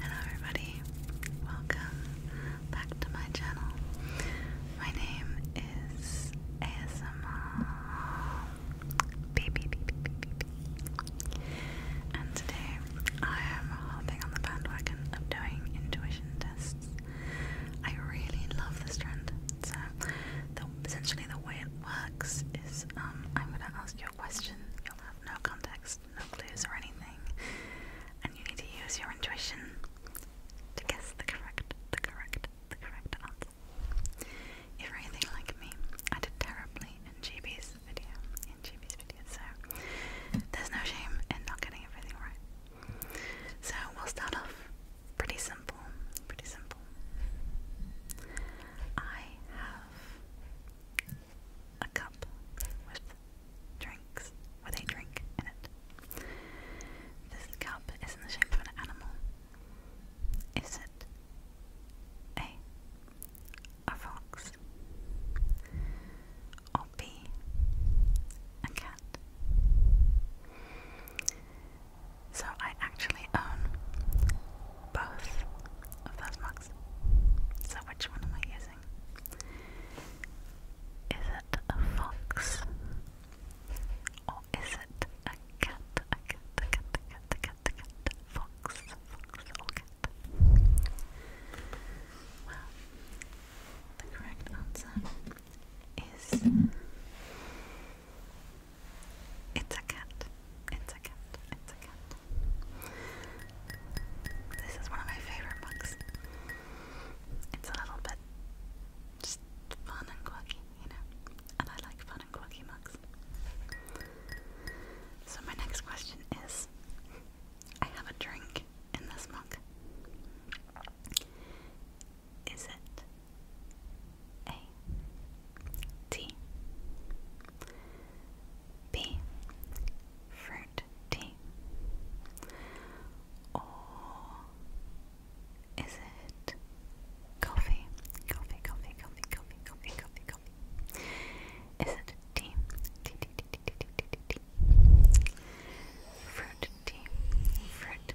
Hello everybody, welcome back to my channel. My name is ASMR beep, beep, beep, beep, beep, beep. and today I am hopping on the bandwagon of doing intuition tests. I really love this trend. So essentially the way it works is um, I'm going to ask question, you'll have no context, no clues, or anything, and you need to use your intuition to guess the correct, the correct, the correct answer. If you're anything like me, I did terribly in GB's video, in GB's video, so there's no shame in not getting everything right. So we'll start off pretty simple, pretty simple. I have a cup with drinks with a drink in it. This cup is in the shape of an animal. Is it A a fox or B a cat? So I actually own both of those mugs. So, which one am I using? Is it a fox? Or is it a cat? A cat, a cat, a cat, a cat, a cat, fox, fox, or cat? Well, the correct answer is it's a cat. It's a cat. It's a cat. This is one of my favorite books. It's a little bit just fun and quirky, you know. And I like fun and quirky mugs. So my next question is I have a drink in this mug. Is it a T B fruit tea or is it coffee? Coffee, coffee, coffee, coffee, coffee, coffee, coffee. Is it tea? Tea, tea, tea, tea, tea, tea, tea, tea. Fruit tea, fruit,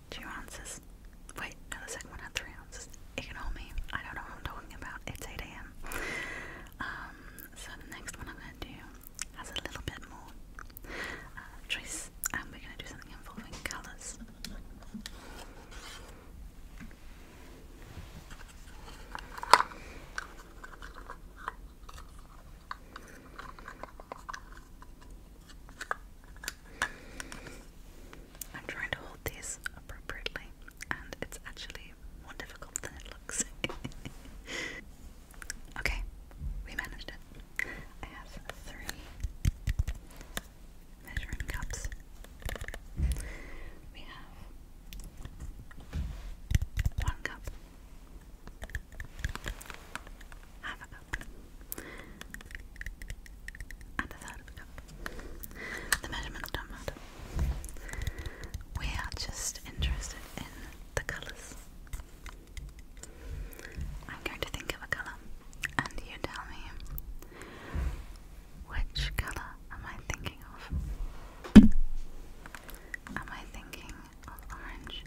two ounces. Wait, no, the second one had three ounces. Ignore me. I don't know what I'm talking about. It's 8 a.m. Um, so the next one I'm gonna do has a little bit more uh, choice, and we're gonna do something involving colors. I'm trying to hold these appropriately, and it's actually more difficult than it looks. okay, we managed it. I have three measuring cups. We have one cup, half a cup cup, and of a We are just interested in the colours. I'm going to think of a colour, and you tell me which colour am I thinking of? Am I thinking of orange?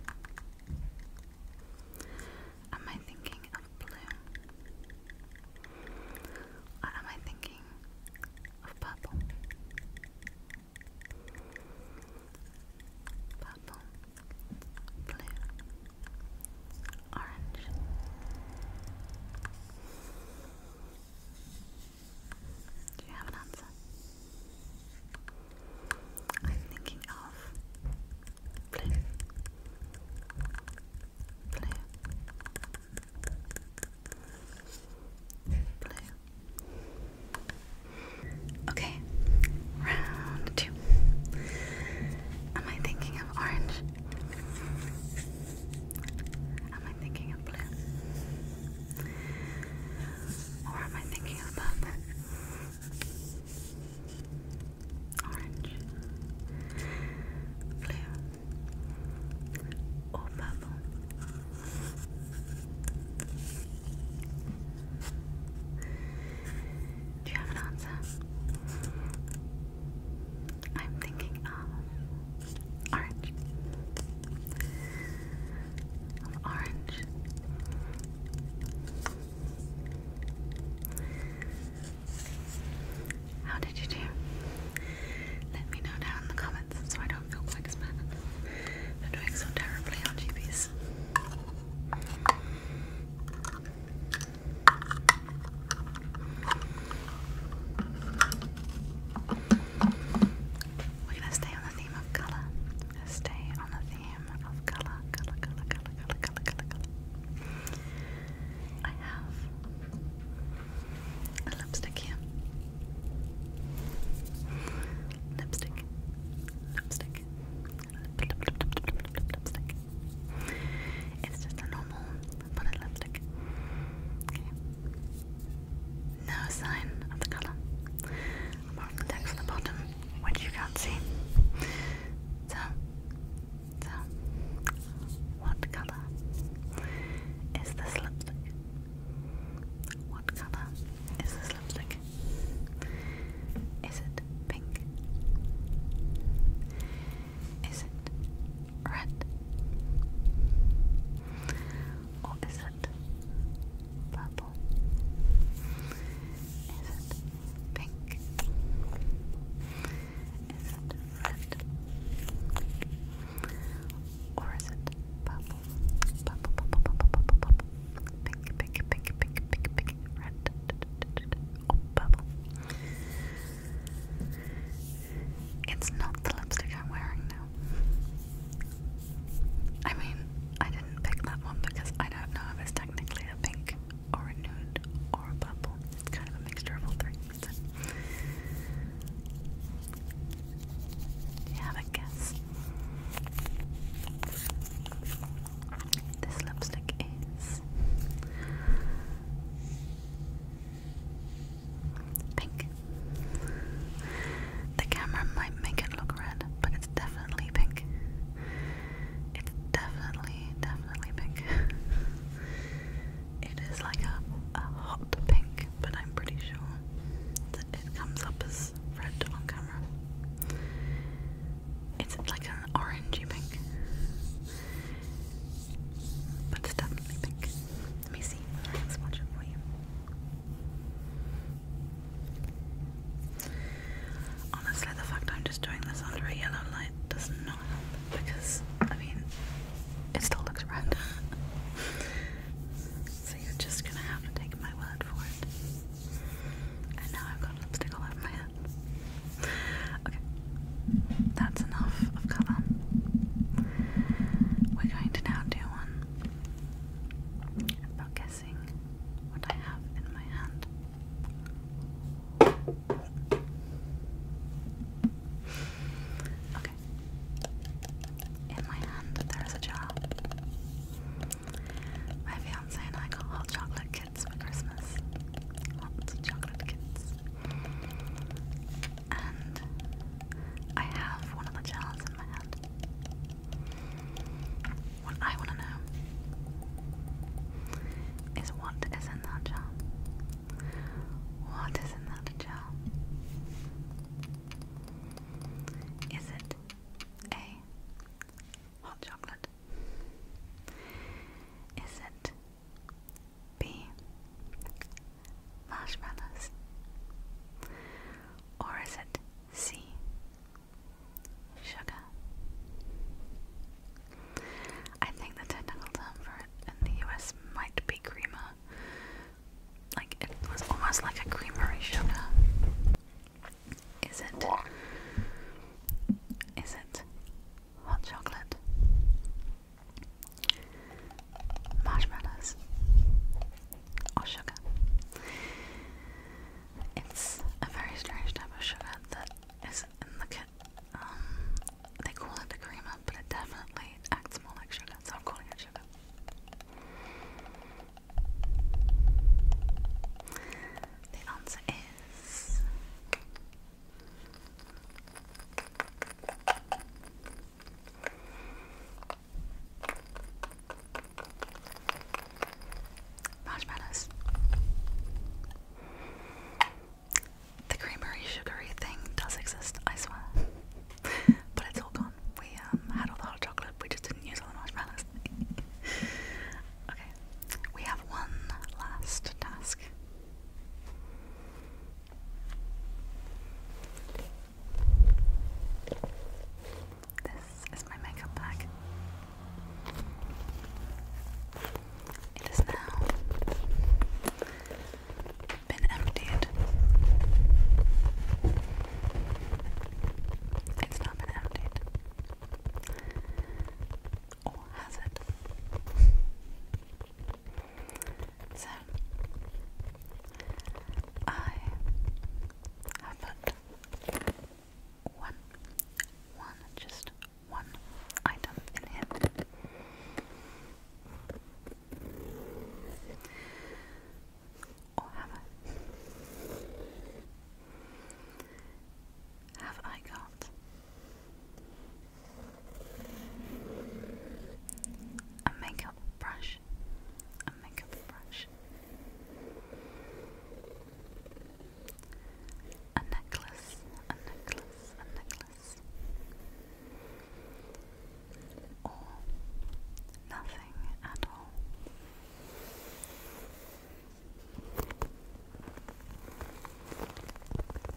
Am I thinking of blue? Or am I thinking of purple? Purple, blue, orange. Do you have an answer? I'm thinking of blue, blue, blue. Okay, round two. Am I thinking of orange? Am I thinking of blue? Or am I thinking of purple? orange, blue, or purple. Do you have an answer? I'm thinking of um, orange. orange. How did you do? Let me know down in the comments so I don't feel like a spam for doing so terribly on GBs. We're gonna stay on the theme of colour stay on the theme of colour, colour, colour, colour, colour, colour, colour, colour. I have a lipstick here. Lipstick. Lipstick. Lip, lip, lip, lipstick. It's just a normal bullet lipstick. Okay. No sign of the colour. Martin text at the bottom, which you can't see. So, so, what colour is this lipstick? What colour is this lipstick? Is it pink? Is it red? Or it purple? Is it pink? Is it red? Or is it purple? Purple, purple, purple, purple, purple. Pink, pink, pink, pink, pink, pink, red. Oh, purple. It's not the lipstick I'm wearing now. I mean, I didn't pick that one because I don't know if it's technically a pink or a nude or a purple. It's kind of a mixture of all three. you have a guess? This lipstick is pink. The camera might make it look red, but it's definitely pink. It's definitely, definitely pink. it is like a, a hot pink, but I'm pretty sure that it comes up as red on camera. It's like an orangey pink. But it's definitely pink. Let me see. Let's watch it for you. Honestly, the fact I'm just doing this under a yellow light does not help because, I mean, it still looks round. so you're just gonna have to take my word for it. And now I've got lipstick all over my head. Okay, that's enough of colour. We're going to now do one about guessing what I have in my hand. Okay. In my hand, there is a jar. My fiance and I got hot chocolate kits for Christmas. Hot chocolate kits. And I have one of the jars what I want to know is what is in that jar. What is in that jar? Is it A. Hot chocolate? Is it B marshmallows? Or is it C, sugar? I think the technical term for it in the US might be creamer. Like it was almost like a creamery sugar. Is it? Is it hot chocolate? marshmallows or sugar. It's a very strange type of sugar that is in the kit. Um, they call it a creamer, but it definitely acts more like sugar, so I'm calling it sugar. The answer is Marshmallows. The creamery sugary thing does exist, I swear. but it's all gone. We um, had all the hot chocolate, we just didn't use all the marshmallows. okay, we have one last task. This is my makeup bag. It has now been emptied. It's not been emptied. Or has it? So, I have put one, one, just one item in here. Or have I? Have I got a makeup brush, a makeup brush, a necklace, a necklace, a necklace, or nothing at all.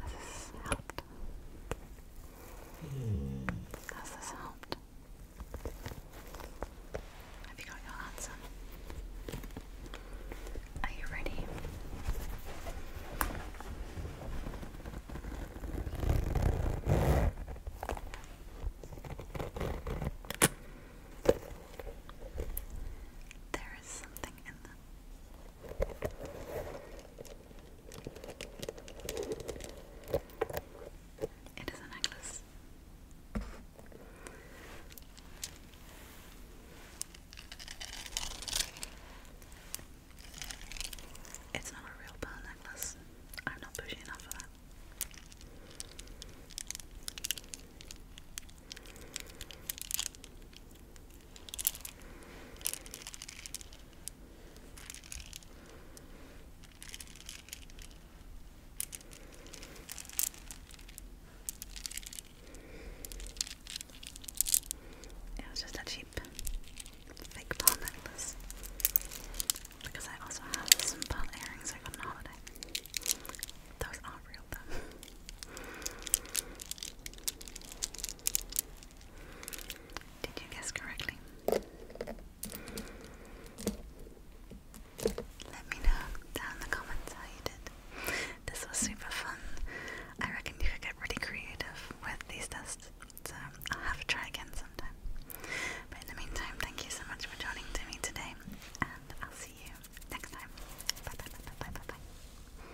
Has this helped? Has this helped? Have you got your answer? Are you ready? There is something in them. It is a necklace. It's not a real pearl necklace. I'm not pushy enough for that. It was just a cheap fake pearl because I also have some pearl earrings I got on holiday. Those aren't real though. Did you guess correctly? Let me know down in the comments how you did. This was super fun. I reckon you could get really creative with these tests, so I'll have a try again sometime. But in the meantime, thank you so much for joining me today, and I'll see you next time. bye bye bye bye bye. bye.